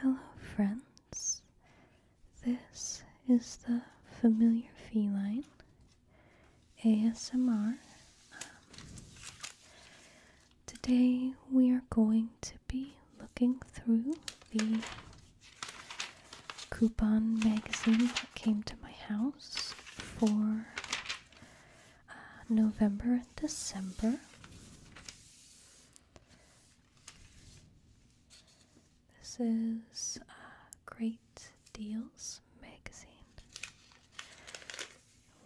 Hello, friends. This is the familiar feline ASMR. Um, today we are going to be looking through the coupon magazine that came to my house for uh, November and December. This is uh, Great Deals magazine.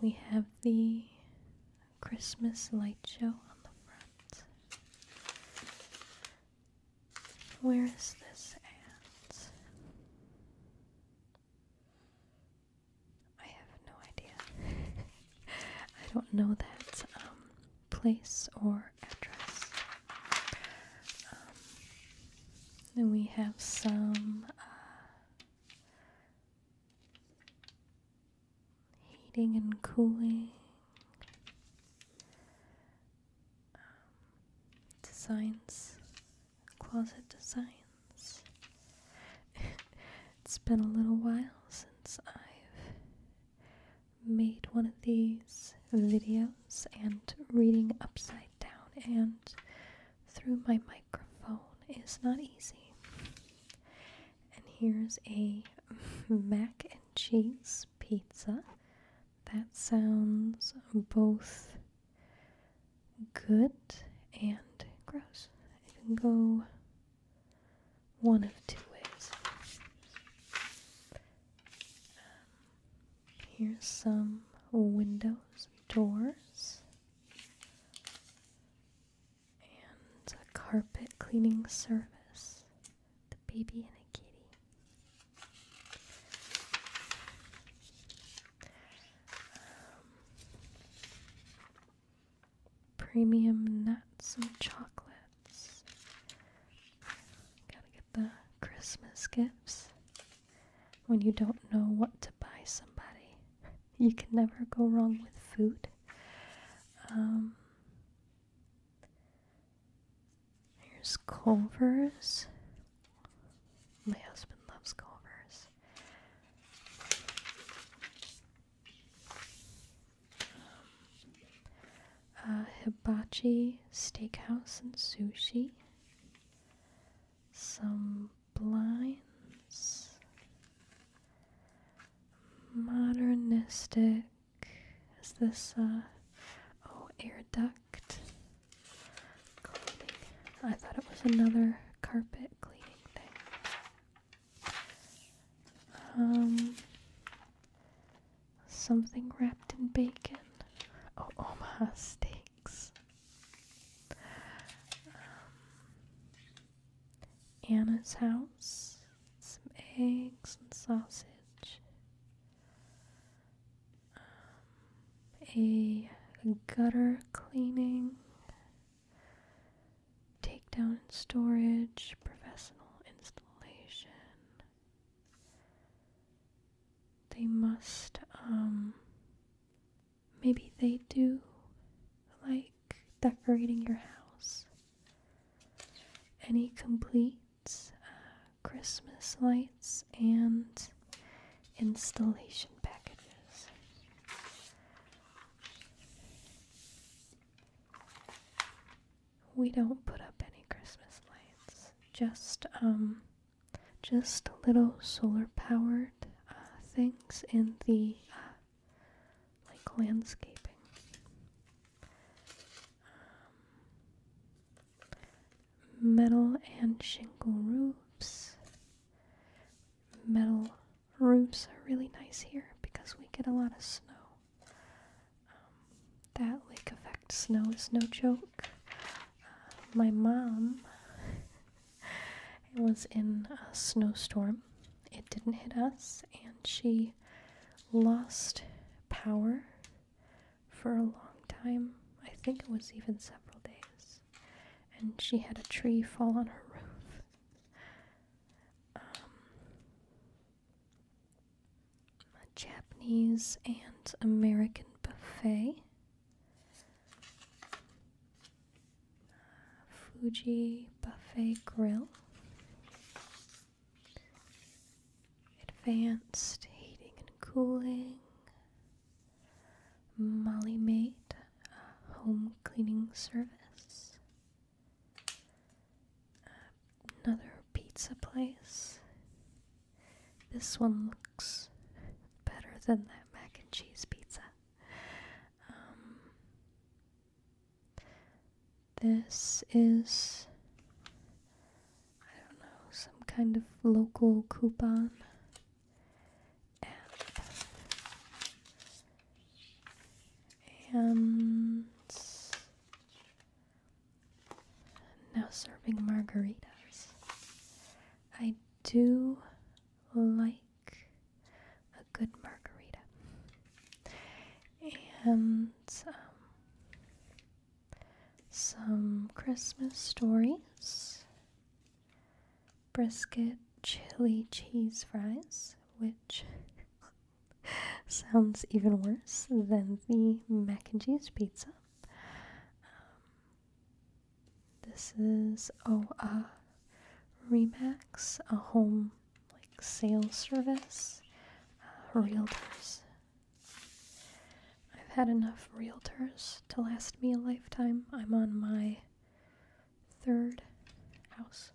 We have the Christmas light show on the front. Where is this ant? I have no idea. I don't know that um, place or address. then um, we have some uh, heating and cooling. Um, designs, closet designs. it's been a little while since I've made one of these videos and reading upside down and through my microphone is not easy. And here's a mac and cheese pizza that sounds both good and gross. It can go one of two ways. Um, here's some windows, doors, and a carpet cleaning service. The baby and the kitty. Um, premium nuts and chocolates. Gotta get the Christmas gifts. When you don't know what to buy somebody, you can never go wrong with food. Um, there's Culver's. My husband loves Culver's. Um, uh, hibachi Steakhouse and Sushi. Some blinds. Modernistic is this, uh, oh, air duct cleaning? I thought it was another carpet cleaning thing. Um, something wrapped in bacon. Oh, Omaha steaks. Um, Anna's house. Some eggs and sausage. Um, a gutter cleaning, takedown and storage, professional installation. They must, um, maybe they do like decorating your house. Any complete uh, Christmas lights, and installation packages. We don't put up any Christmas lights, just um, just little solar-powered uh, things in the uh, like landscaping. Um, metal and shingle roofs. Metal roofs are really nice here because we get a lot of snow. Um, that lake effect snow is no joke. Uh, my mom was in a snowstorm. It didn't hit us, and she lost power for a long time. I think it was even several days. And she had a tree fall on her roof. Um, a Japanese and American buffet. Uh, Fuji Buffet Grill. Advanced heating and cooling. Molly Mate uh, home cleaning service. another pizza place. This one looks better than that mac and cheese pizza. Um, this is I don't know, some kind of local coupon app. And now serving margaritas. I do like a good margarita. And um, some Christmas stories, brisket chili cheese fries, which sounds even worse than the mac and cheese pizza. Um, this is oh uh, Remax, a home like sales service. Uh, realtors I've had enough realtors to last me a lifetime. I'm on my third house.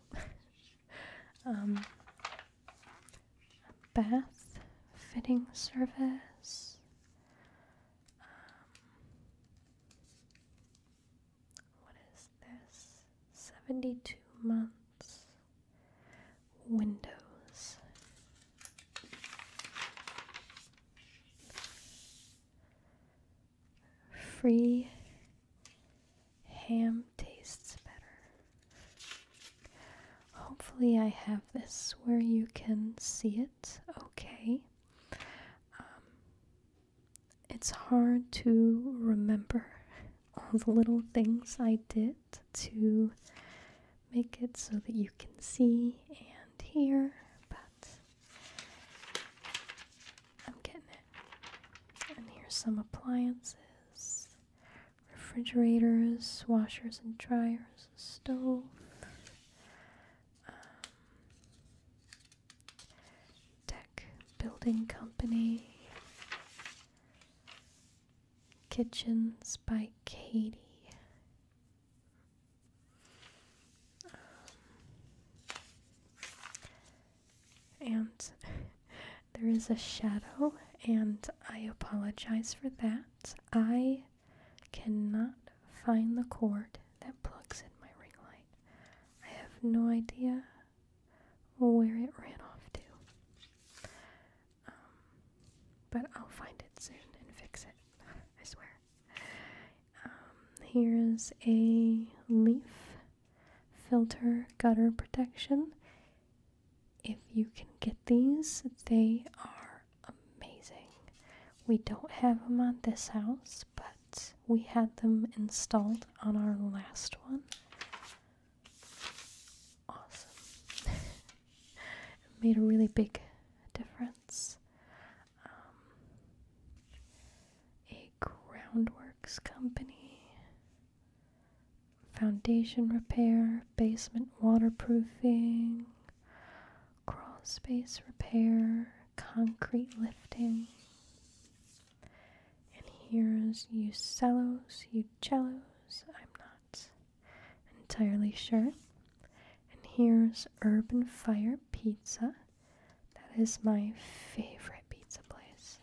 um, bath fitting service. Um, what is this? 72 months windows, Free ham tastes better. Hopefully, I have this where you can see it okay. Um, it's hard to remember all the little things I did to make it so that you can see and hear, but I'm getting it. And here's some appliances refrigerators, washers and dryers, stove. Um, Building Company, Kitchens by Katie. Um, and there is a shadow, and I apologize for that. I cannot find the cord that plugs in my ring light. I have no idea where it ran off to. Um, but I'll find it soon and fix it. I swear. Um, here's a leaf filter gutter protection. If you can get these, they are amazing. We don't have them on this house, but we had them installed on our last one. Awesome. made a really big difference. Um, a groundworks company, foundation repair, basement waterproofing, crawl space repair, concrete lifting. And here's Ucellos, Ucellos, I'm not entirely sure. And here's Urban Fire Pizza. That is my favorite pizza place.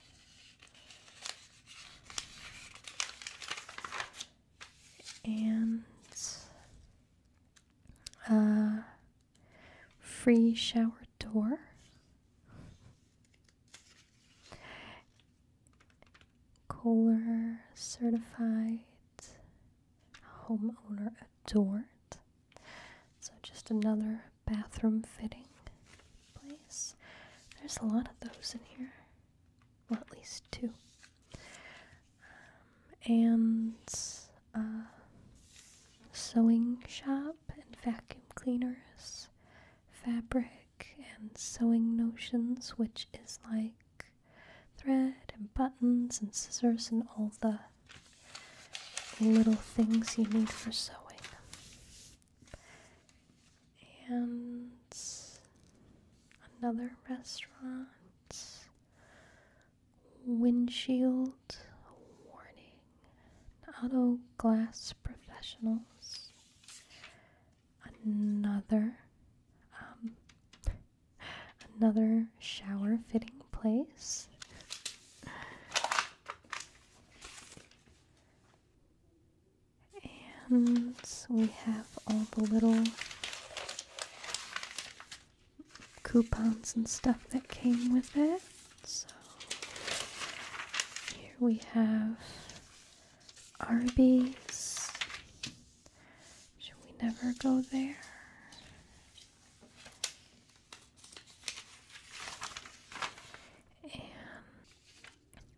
And a uh, free shower door. Kohler certified homeowner adored. So just another bathroom fitting place. There's a lot of those in here. Well, at least two. Um, and uh, sewing shop and vacuum cleaners, fabric and sewing notions, which is like thread and buttons and scissors and all the little things you need for sewing. And another restaurant. Windshield warning. Auto glass professionals another um, another shower fitting place. And we have all the little coupons and stuff that came with it. So here we have Arby's. Should we never go there? And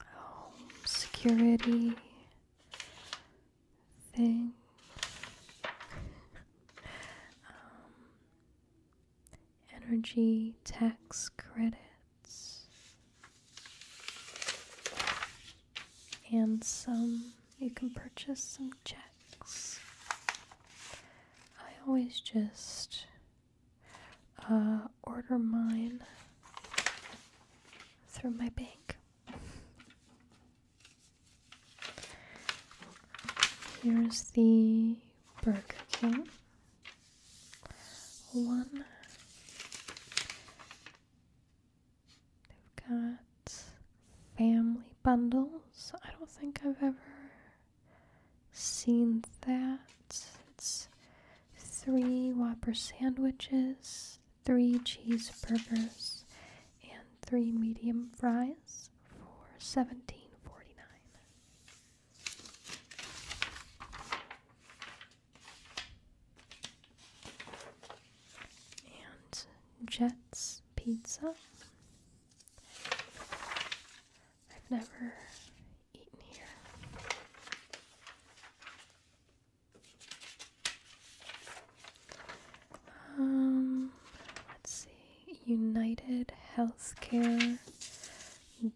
oh, security thing. Um, energy tax credit and some you can purchase some checks i always just uh, order mine through my bank here's the burger king one. They've got family bundles. I don't think I've ever seen that. It's three Whopper sandwiches, three cheeseburgers, and three medium fries for seventeen forty nine. And Jets Pizza. I've never eaten here. Um, let's see. United Healthcare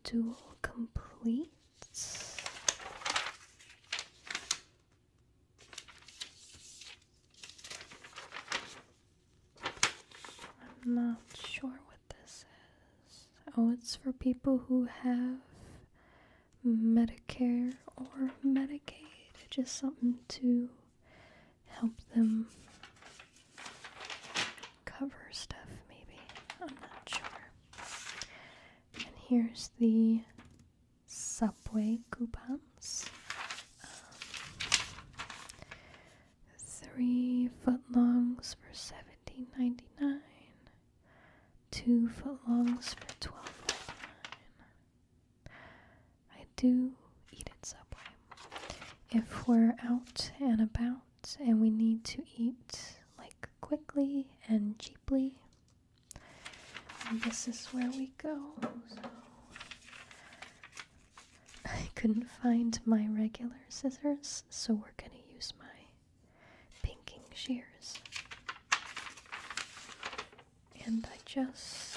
Dual Complete. I'm not sure what this is. Oh, it's for people who have Medicare or Medicaid, just something to help them cover stuff, maybe. I'm not sure. And here's the subway coupons. three foot longs for seventeen ninety nine. Two foot longs for twelve ninety nine. I do eat at Subway. If we're out and about and we need to eat like quickly and cheaply. And this is where we go. So I couldn't find my regular scissors, so we're gonna use my pinking shears. And I just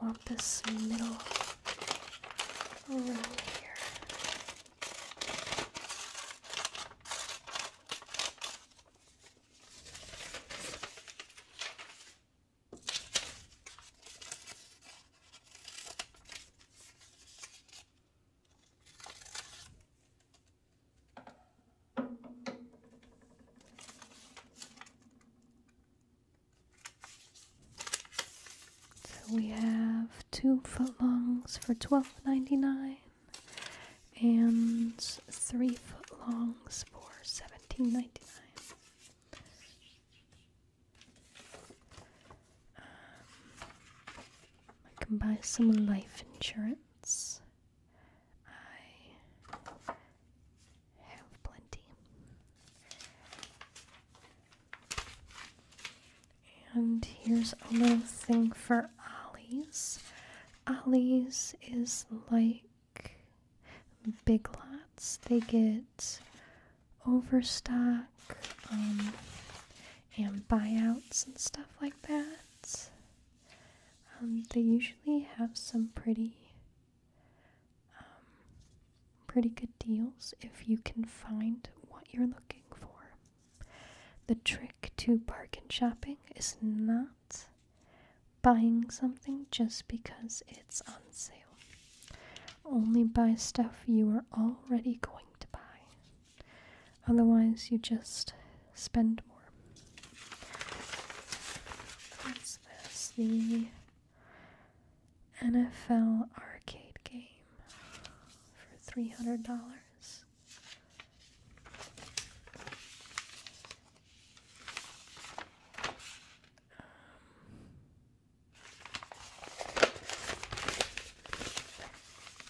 want this middle row here. So we have two foot longs for twelve ninety nine and three foot longs for seventeen ninety nine. Um, I can buy some life insurance. I have plenty. And here's a little thing for Ali's. Ali's is like Big Lots. They get overstock um, and buyouts and stuff like that. Um, they usually have some pretty, um, pretty good deals if you can find what you're looking for. The trick to bargain shopping is not buying something just because it's on sale. Only buy stuff you are already going to buy. Otherwise, you just spend more. What's this? The NFL arcade game for $300.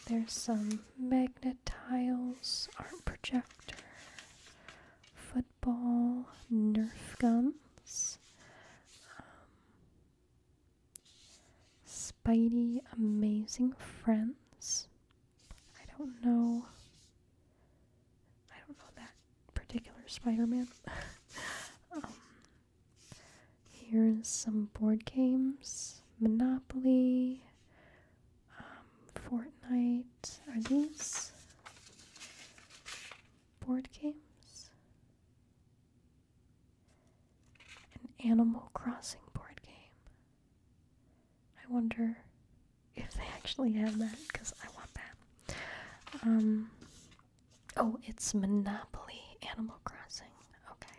There's some magnet tiles, art projector, football, Nerf guns, um, Spidey, Amazing Friends. I don't know. I don't know that particular Spider-Man. Um, here's some board games: Monopoly, um, Fortnite. Are these board games? An Animal Crossing board game. I wonder if they actually have that because I want that. Um, oh, it's Monopoly Animal Crossing. Okay.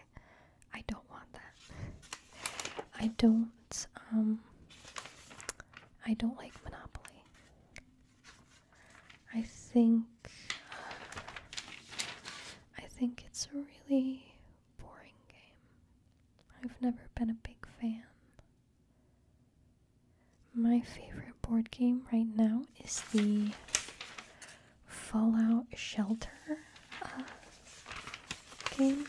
I don't want that. I don't um, I don't like Monopoly. I think I think it's a really boring game. I've never been a big fan. My favorite board game right now is the Fallout Shelter uh, game.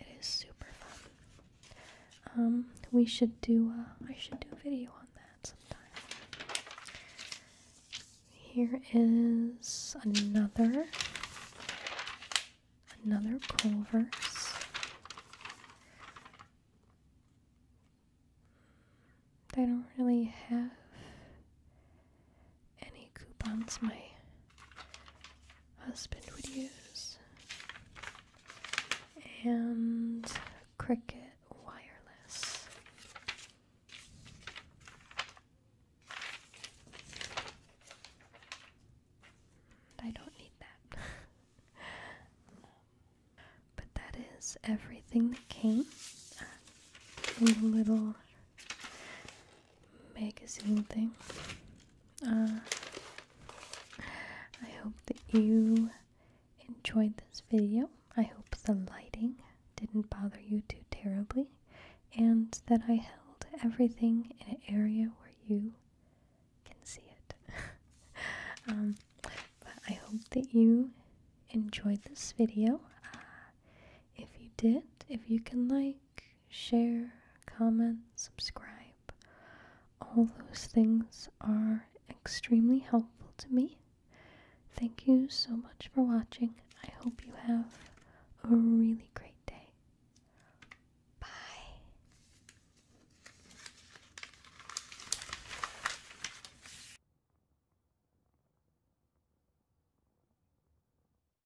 It is super fun. Um, we should do. Uh, I should do a video on that sometime. Here is another another cool verse. I don't really have any coupons my husband would use. And Cricket Wireless. I don't need that. but that is everything that came in the little magazine thing. Uh, I hope that you enjoyed this video. I hope the lighting didn't bother you too terribly and that I held everything in an area where you can see it. Um, but I hope that you enjoyed this video. Uh, if you did, if you can like, share, comment, subscribe. All those things are extremely helpful to me. Thank you so much for watching. I hope you have a really great day. Bye.